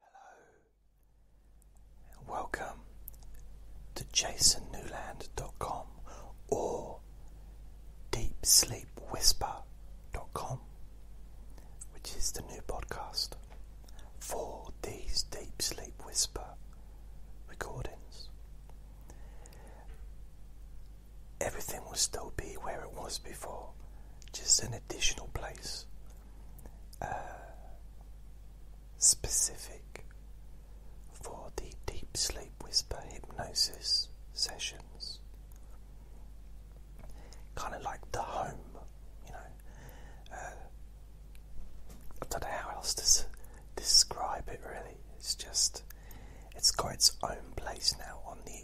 Hello, and welcome to jasonnewland.com or deepsleepwhisper.com, which is the new podcast for these deep sleep whisper recordings. Everything will still be where it was before, just an additional place uh, specific for the Deep Sleep Whisper hypnosis sessions. Kind of like the home, you know. Uh, I don't know how else to describe it really. It's just, it's got its own place now on the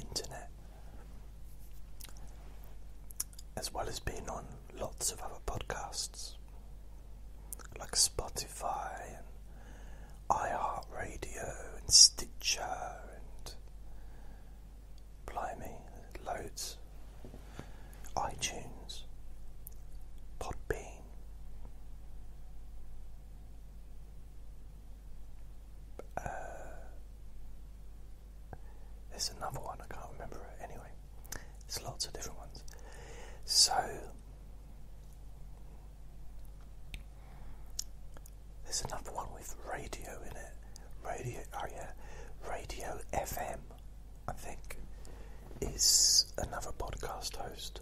internet as well as being on lots of other podcasts like Spotify and iHeartRadio and Stitcher and Blimey, loads, iTunes, Podbean. Uh, there's another one, I can't remember it anyway. There's lots of different ones. So, there's another one with radio in it. Radio, oh yeah, Radio FM, I think, is another podcast host.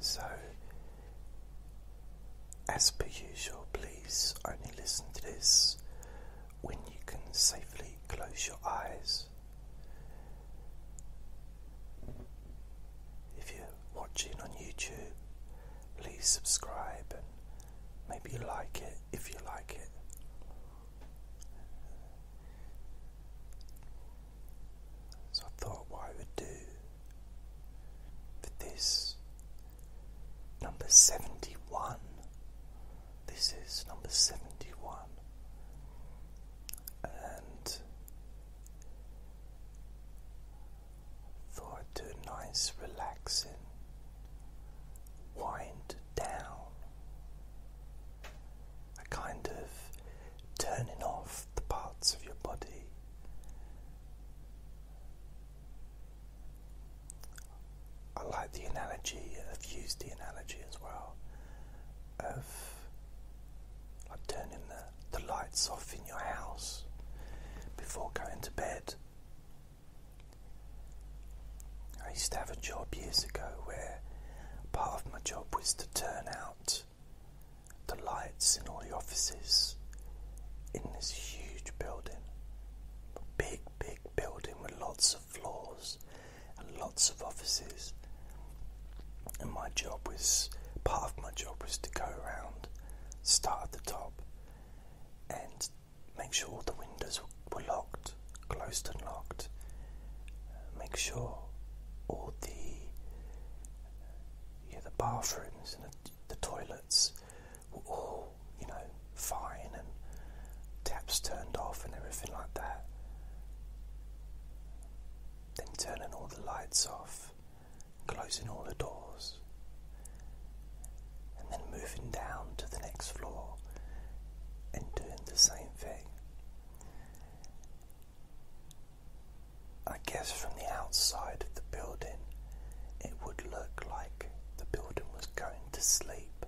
So, as per usual, please only listen to this when you can safely close your eyes. If you're watching on YouTube, please subscribe and maybe like it if you like it. So I thought what I would do but this number 71, this is number 71, and for I'd do a nice relaxing wind down, a kind of turning off the parts of your body I like the analogy, I've used the analogy as well of turning the lights off in your house before going to bed. I used to have a job years ago where part of my job was to turn out the lights in all the offices in this huge building. big, big building with lots of floors and lots of offices. And my job was part of my job was to go around, start at the top, and make sure all the windows were locked, closed and locked. Make sure all the yeah, the bathrooms and the, toilets were all, you know, fine and taps turned off and everything like that. Then turning all the lights off, closing all the doors, and then moving down to the next floor and doing the same thing. I guess from the outside of the building, it would look like the building was going to sleep.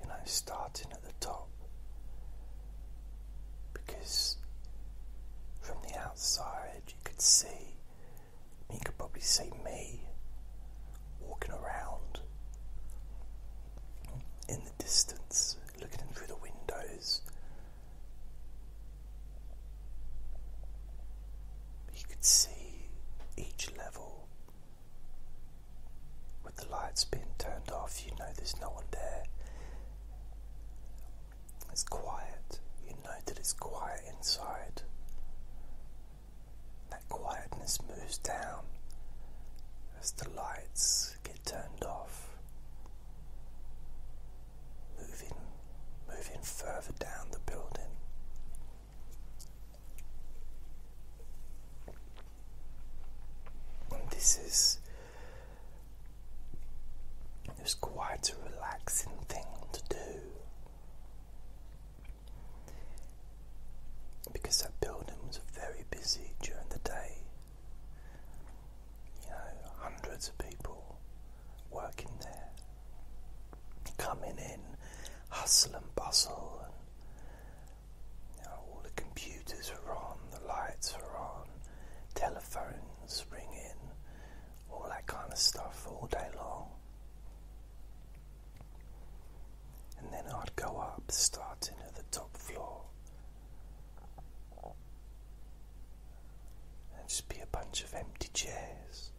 You know, starting at the top. Because from the outside, you could see, you could probably see me walking around in the distance, looking through the windows, you could see each level with the lights being turned off. You know there's no one there. It's quiet. You know that it's quiet inside. That quietness moves down as the lights get it turned off. Moving, moving further down the building. this is it was quite a relaxing thing to do. Because that building was very busy during the day, you know, hundreds of people working there, coming in, hustle and bustle, and all the computers are on, the lights are on, telephones ring in, all that kind of stuff all day long. And then I'd go up, starting at the top floor, and just be a bunch of empty chairs.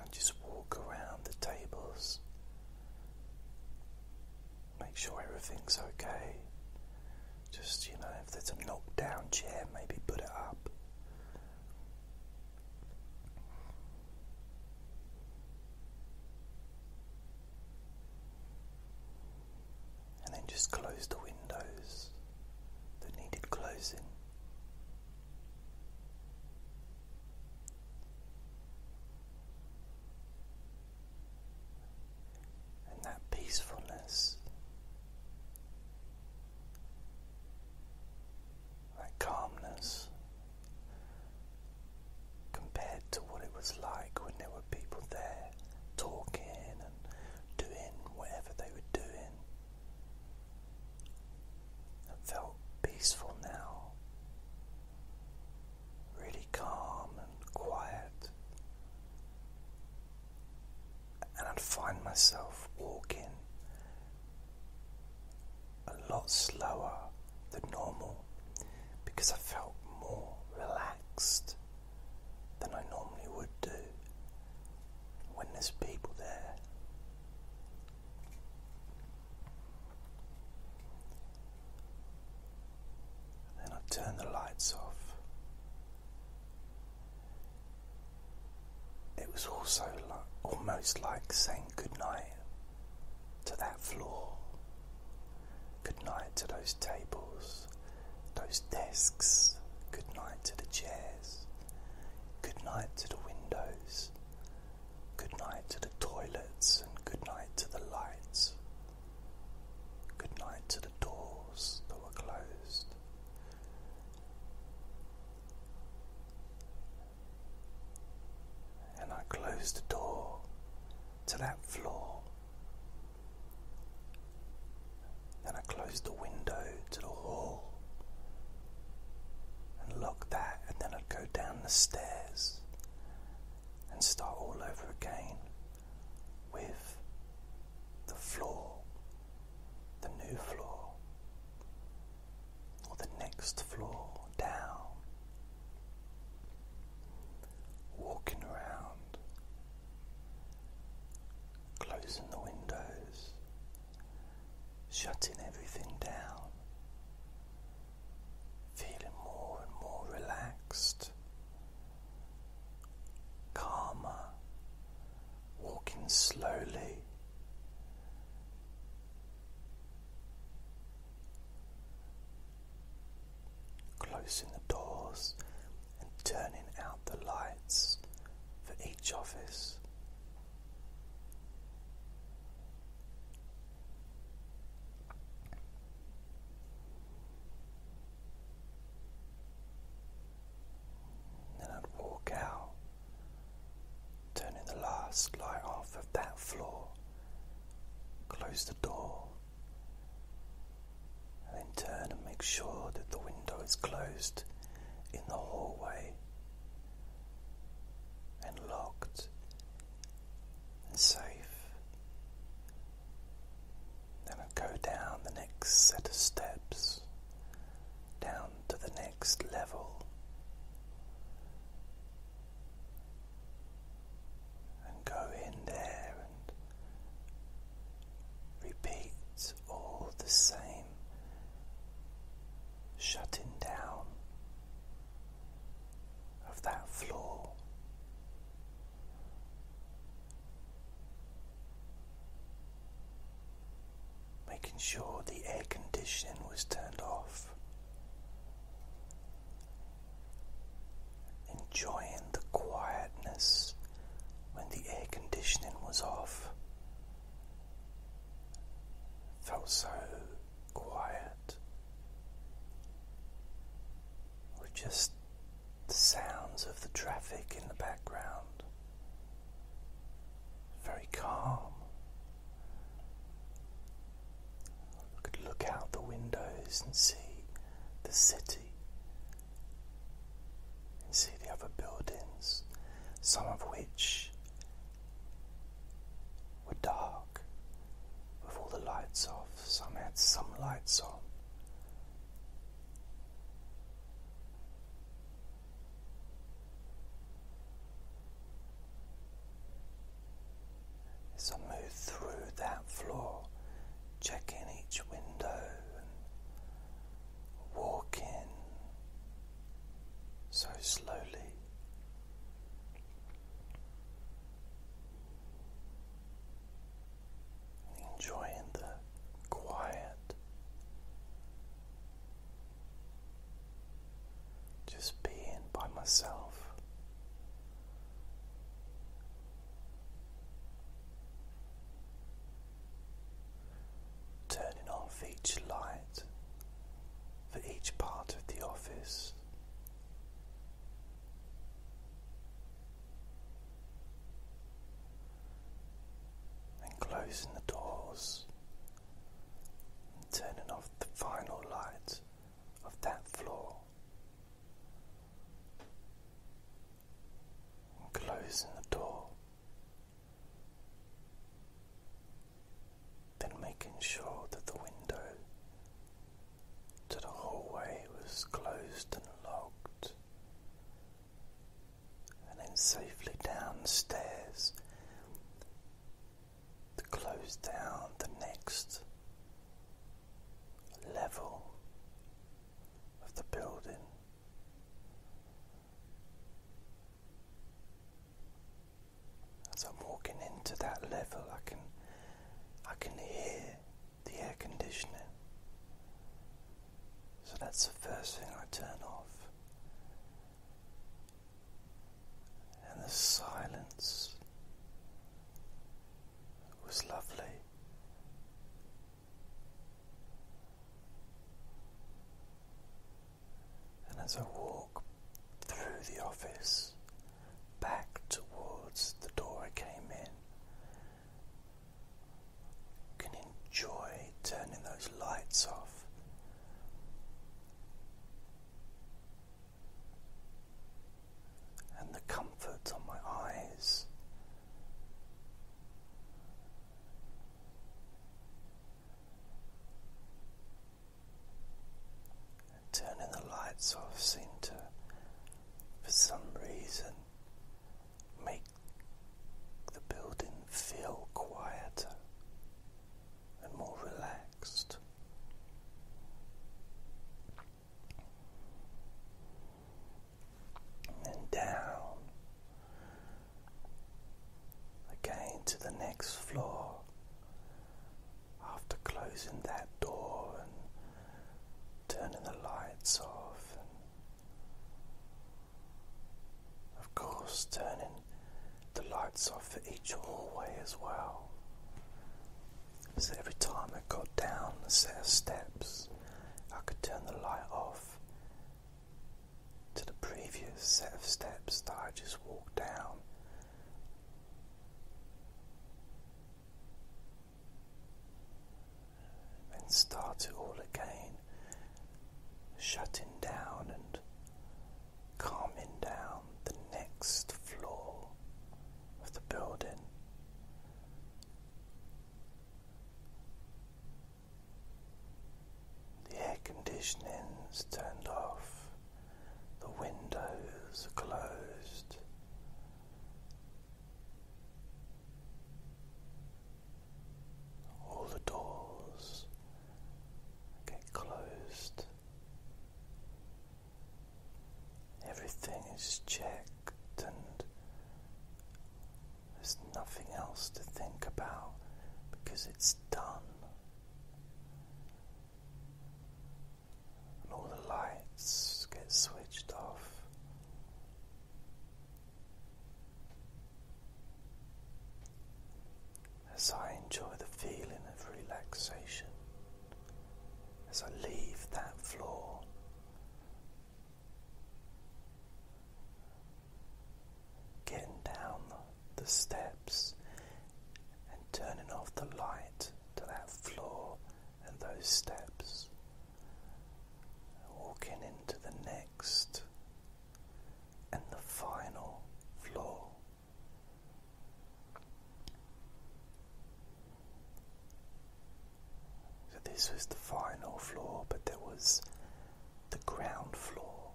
And just walk around the tables. Make sure everything's okay. Just, you know, if there's a knockdown chair, maybe put it up. And then just close the windows that needed closing. And that peacefulness that calmness compared to what it was like when there were people there talking and doing whatever they were doing. felt peaceful now, really calm and quiet and I'd find myself walking a lot slower than normal because I felt more relaxed than I normally would do when there's people there. Then I turn the lights off it was also like, almost like saying goodnight to that floor, goodnight to those tables, those desks, goodnight to the chairs, goodnight to the windows, goodnight to the toilets, and goodnight to the lights, goodnight to the doors that were closed, and I close the door to that floor. Then I close the window to the hall and lock that, and then I'd go down the stairs and start all over again with the floor the new floor or the next floor down, walking around, closing the windows, shutting everything down, feeling more and more relaxed, calmer walking slowly. Closing the doors and turning out the lights for each office. Then I'd walk out, turning the last light off of that floor, close the door, and then turn and make sure that the window is closed in the hallway and locked and safe. Then I go down the next set of steps, down to the next level, and go in there and repeat all the same shutting down of that floor making sure the air conditioning was turned off, enjoying the quietness when the air conditioning was off. Felt so quiet. we just the sounds of the traffic in the background. Very calm. could look out the windows and see the city and see the other buildings, some of which were dark with all the lights off, some had some lights on. So move through that floor, checking each window walk in so slowly enjoying the quiet, just being by myself. Turning off each light for each part of the office, and closing the doors and turning off the final lights of that floor and closing the door then making sure that the window to the hallway was closed and locked and then safely downstairs to close down the next level of the building. As I'm walking into that level, I can I can hear the air conditioning. So that's the first thing I turn off. And the silence was lovely. And as I walk through the office back towards the door I came in, can enjoy turning those lights off. And the comfort on my eyes. turning the lights off seemed to for some reason make the building feel quieter and more relaxed. And down again to the next floor after closing that door turning the lights off, and of course, turning the lights off for each hallway as well. So every time I got down a set of steps, I could turn the light off to the previous set of steps that I just walked down and start it all again, shutting down and calming down the next floor of the building. The air conditioning's turned off, the windows closed, all the doors get closed. Everything is checked, and there's nothing else to think about because it's done and all the lights get switched off. As I enjoy the feeling of relaxation, as I leave that floor, getting down the steps and turning off the light to that floor and those steps, walking into the next and the final floor. So, this was the final floor, but there was the ground floor,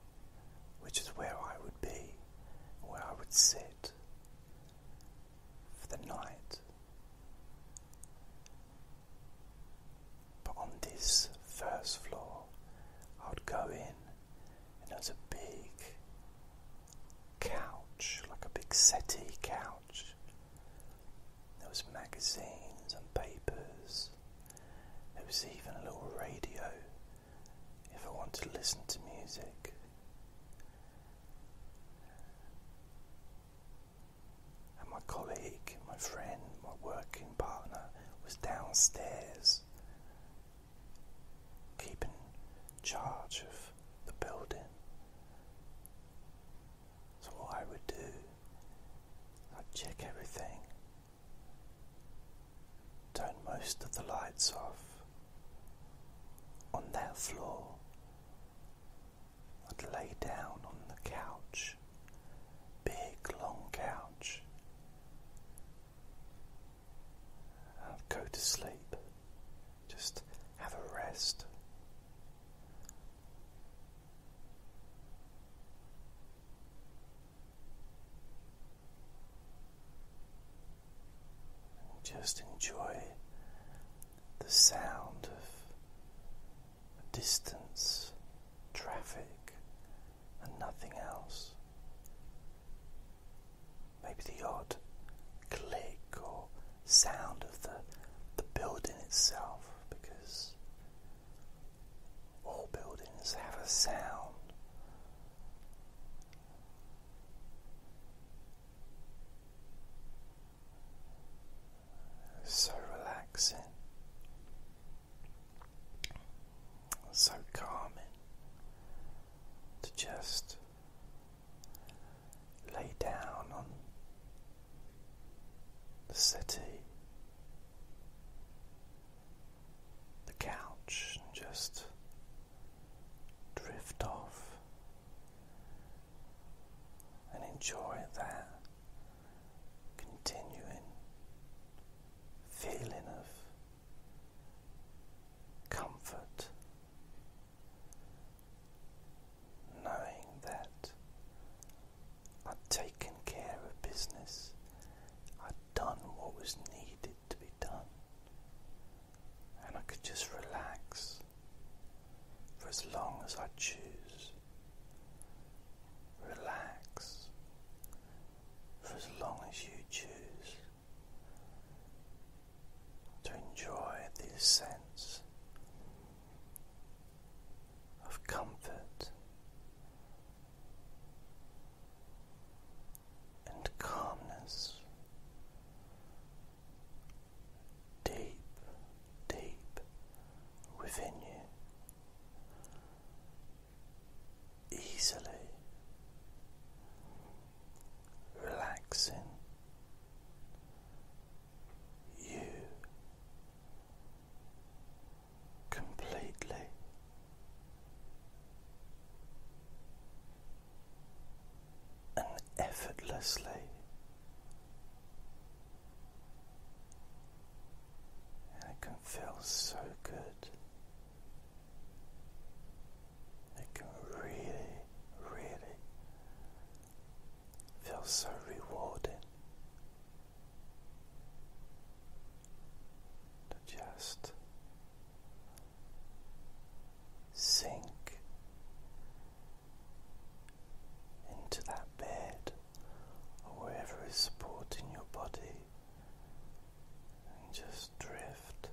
which is where I would be, where I would sit for the night. But on this first floor, I would go in, and there was a big couch, like a big settee couch. There was magazines and papers. There was even a little radio if I wanted to listen to music. And my colleague, my friend, my working partner was downstairs keeping charge of the building. So, what I would do, I'd check everything, turn most of the lights off on that floor. and lay down on the couch, big long couch. i go to sleep, just have a rest just enjoy the sound of distance, traffic, and nothing else. Maybe the odd click or sound of the, the building itself, because all buildings have a sound. So relaxing, so calming to just lay down on the city, the couch, and just drift off and enjoy that continuing feeling of comfort, knowing that i would taken care of business, i had done what was needed to be done and I could just relax for as long as I choose. Relax for as long as you choose to enjoy this sense of comfort and calmness deep, deep within you, easily relaxing you completely and effortlessly. And it can feel so good. It can really, really feel so rewarding to just sink into that bed or wherever is supporting your body and just drift.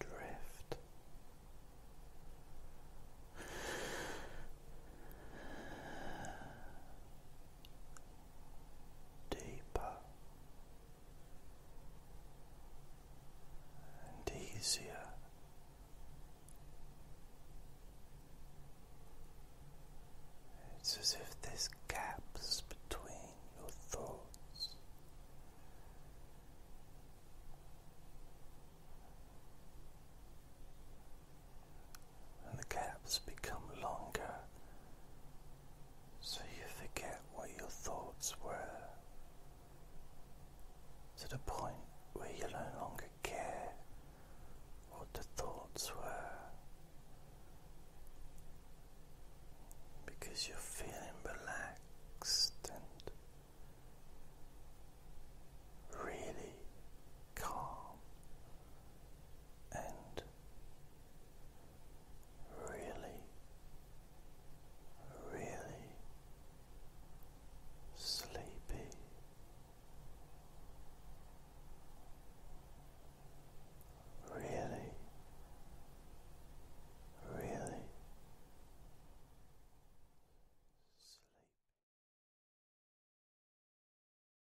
Drift deeper and easier. It's as if there's gaps between your thoughts and the gaps become longer, so you forget what your thoughts were to the point where you no longer care what the thoughts were because you're feeling relaxed and really calm and really, really sleepy. Really, really sleep.